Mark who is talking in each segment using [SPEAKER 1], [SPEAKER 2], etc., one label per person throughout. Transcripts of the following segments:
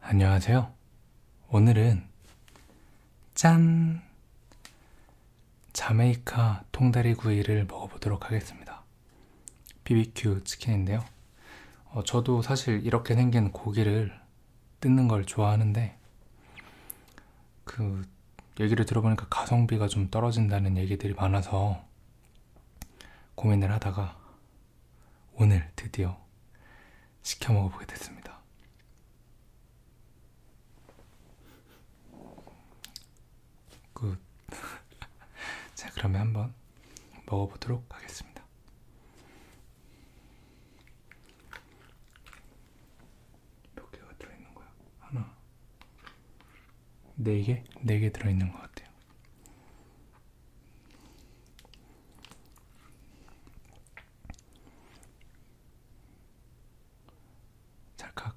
[SPEAKER 1] 안녕하세요. 오늘은 짠! 자메이카 통다리 구이를 먹어보도록 하겠습니다. BBQ 치킨인데요. 어, 저도 사실 이렇게 생긴 고기를 뜯는 걸 좋아하는데 그 얘기를 들어보니까 가성비가 좀 떨어진다는 얘기들이 많아서 고민을 하다가 오늘 드디어 시켜 먹어보게 됐습니다. 굿. 그 자, 그러면 한번 먹어보도록 하겠습니다. 몇 개가 들어있는 거야? 하나, 네 개? 네 개 들어있는 것 같아요. 찰칵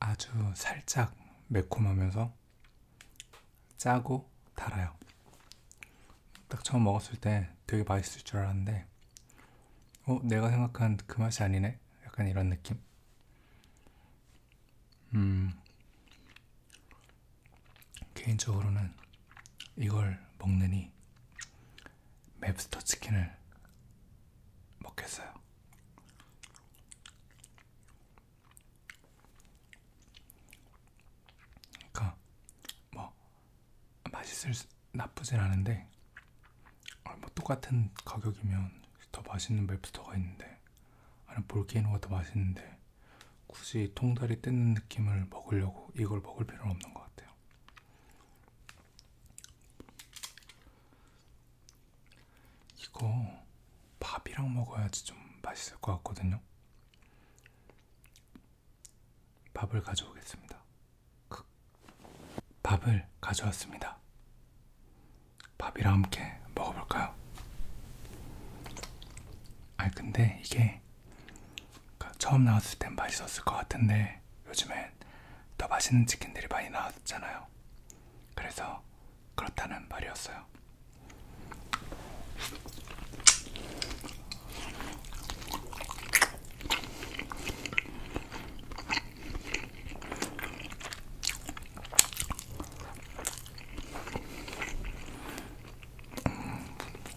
[SPEAKER 1] 아주 살짝 매콤하면서 짜고 달아요. 딱 처음 먹었을 때 되게 맛있을 줄 알았는데, 어, 내가 생각한 그 맛이 아니네? 약간 이런 느낌? 음, 개인적으로는 이걸 먹느니 맵스터 치킨을 먹겠어요. 그러니까 뭐 맛있을 수, 나쁘진 않은데 어, 뭐 똑같은 가격이면 더 맛있는 맵스터가 있는데 아니 볼케이노가 더 맛있는데 굳이 통다리 뜯는 느낌을 먹으려고 이걸 먹을 필요는 없는 것 같아요. 이거 밥이랑 먹어야지 좀 맛있을 것 같거든요. 밥을 가져오겠습니다. 밥을 가져왔습니다. 밥이랑 함께 먹어볼까요? 아 근데 이게 그러니까 처음 나왔을 땐 맛있었을 것 같은데 요즘엔 더 맛있는 치킨들이 많이 나왔잖아요. 그래서 그렇다는 말이었어요. 음,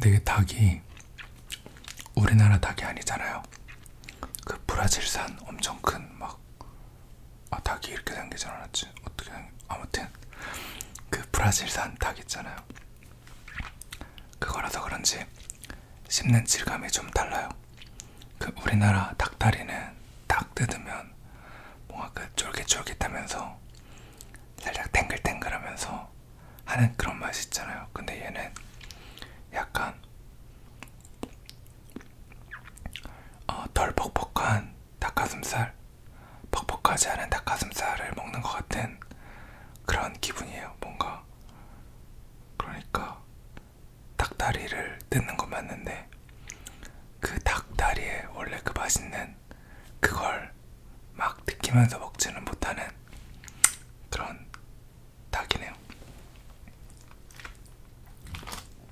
[SPEAKER 1] 되게 닭이 우리나라 닭이 아니잖아요. 그 브라질산 엄청 큰막 아 닭이 이렇게 생기진 않았지 어떻게 생기... 아무튼 그 브라질산 닭 있잖아요 그거라서 그런지 씹는 질감이 좀 달라요 그 우리나라 닭다리는 닭 뜯으면 뭔가 그 쫄깃쫄깃하면서 살짝 탱글탱글하면서 하는 그런 맛이 있잖아요 근데 얘는 약간 어, 덜 퍽퍽한 닭가슴살, 퍽퍽하지 않은 닭가슴살을 먹는 것 같은 그런 기분이에요. 뭔가 그러니까 닭다리를 뜯는 건 맞는데 그 닭다리에 원래 그 맛있는 그걸 막 느끼면서 먹지는 못하는 그런 닭이네요.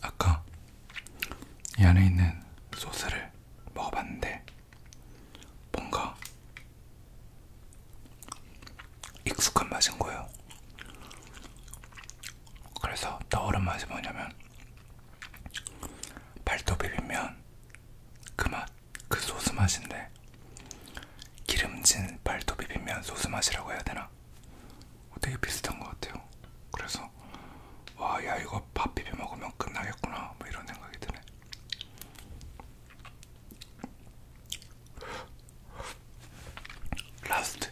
[SPEAKER 1] 아까 이 안에 있는 소스를 먹어봤는데 뭔가 익숙한 맛인 거예요. 그래서 떠오른 맛이 뭐냐면 발도 비빔면 그 맛, 그 소스 맛인데 기름진 발도 비빔면 소스 맛이라고 해야 되나? 되게 비슷한 것 같아요. 그래서 와, 야 이거 밥 비벼 먹으면 끝나겠구나, 뭐 이런 생각이 드네. 라스트.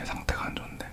[SPEAKER 1] 얘 상태가 안 좋은데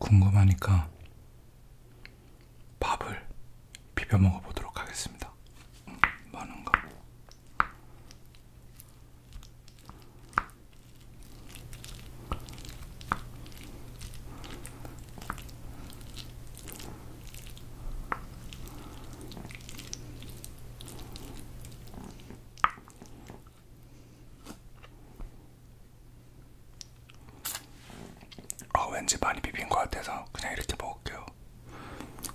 [SPEAKER 1] 궁금하니까 밥을 비벼 먹어보도록 하겠습니다. 음, 많은가? 아 어, 왠지 많이 비빈 것 같아서 그냥 이렇게 먹을게요.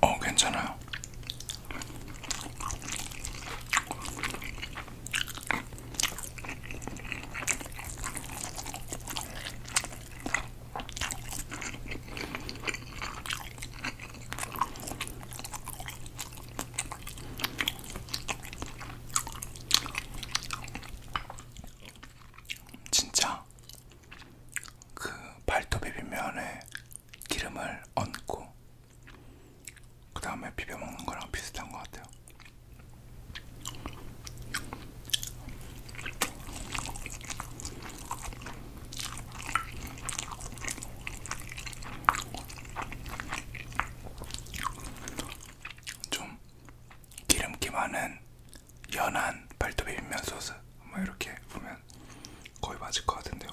[SPEAKER 1] 어, 괜찮아요. 진짜 그 발톱 비빔면에 기름을 얹고 그 다음에 비벼 먹는 거랑 비슷한 것 같아요. 좀 기름기 많은 연한 발톱 비빔면 소스 뭐 이렇게 보면 거의 맞을 것 같은데요.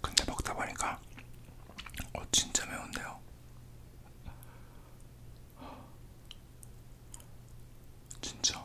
[SPEAKER 1] 근데 먹다 보니까 어 진짜 매운데요. 진짜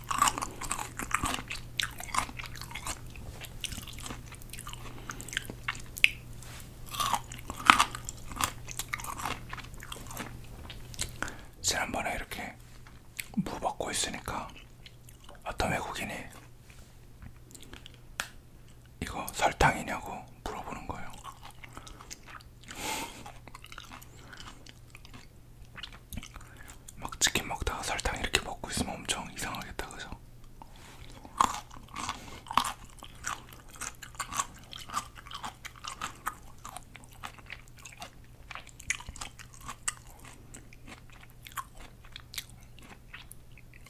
[SPEAKER 1] 지난번에 이렇게 무 먹고 있으니까 어떤 외국인이 이거 설탕이냐고 물어보는 거예요. 막 치킨 먹다가 설탕 이렇게 먹고 있으면 엄청 이상하겠다 그죠?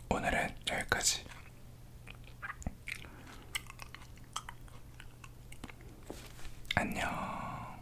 [SPEAKER 1] 오늘은 여기까지. 안녕.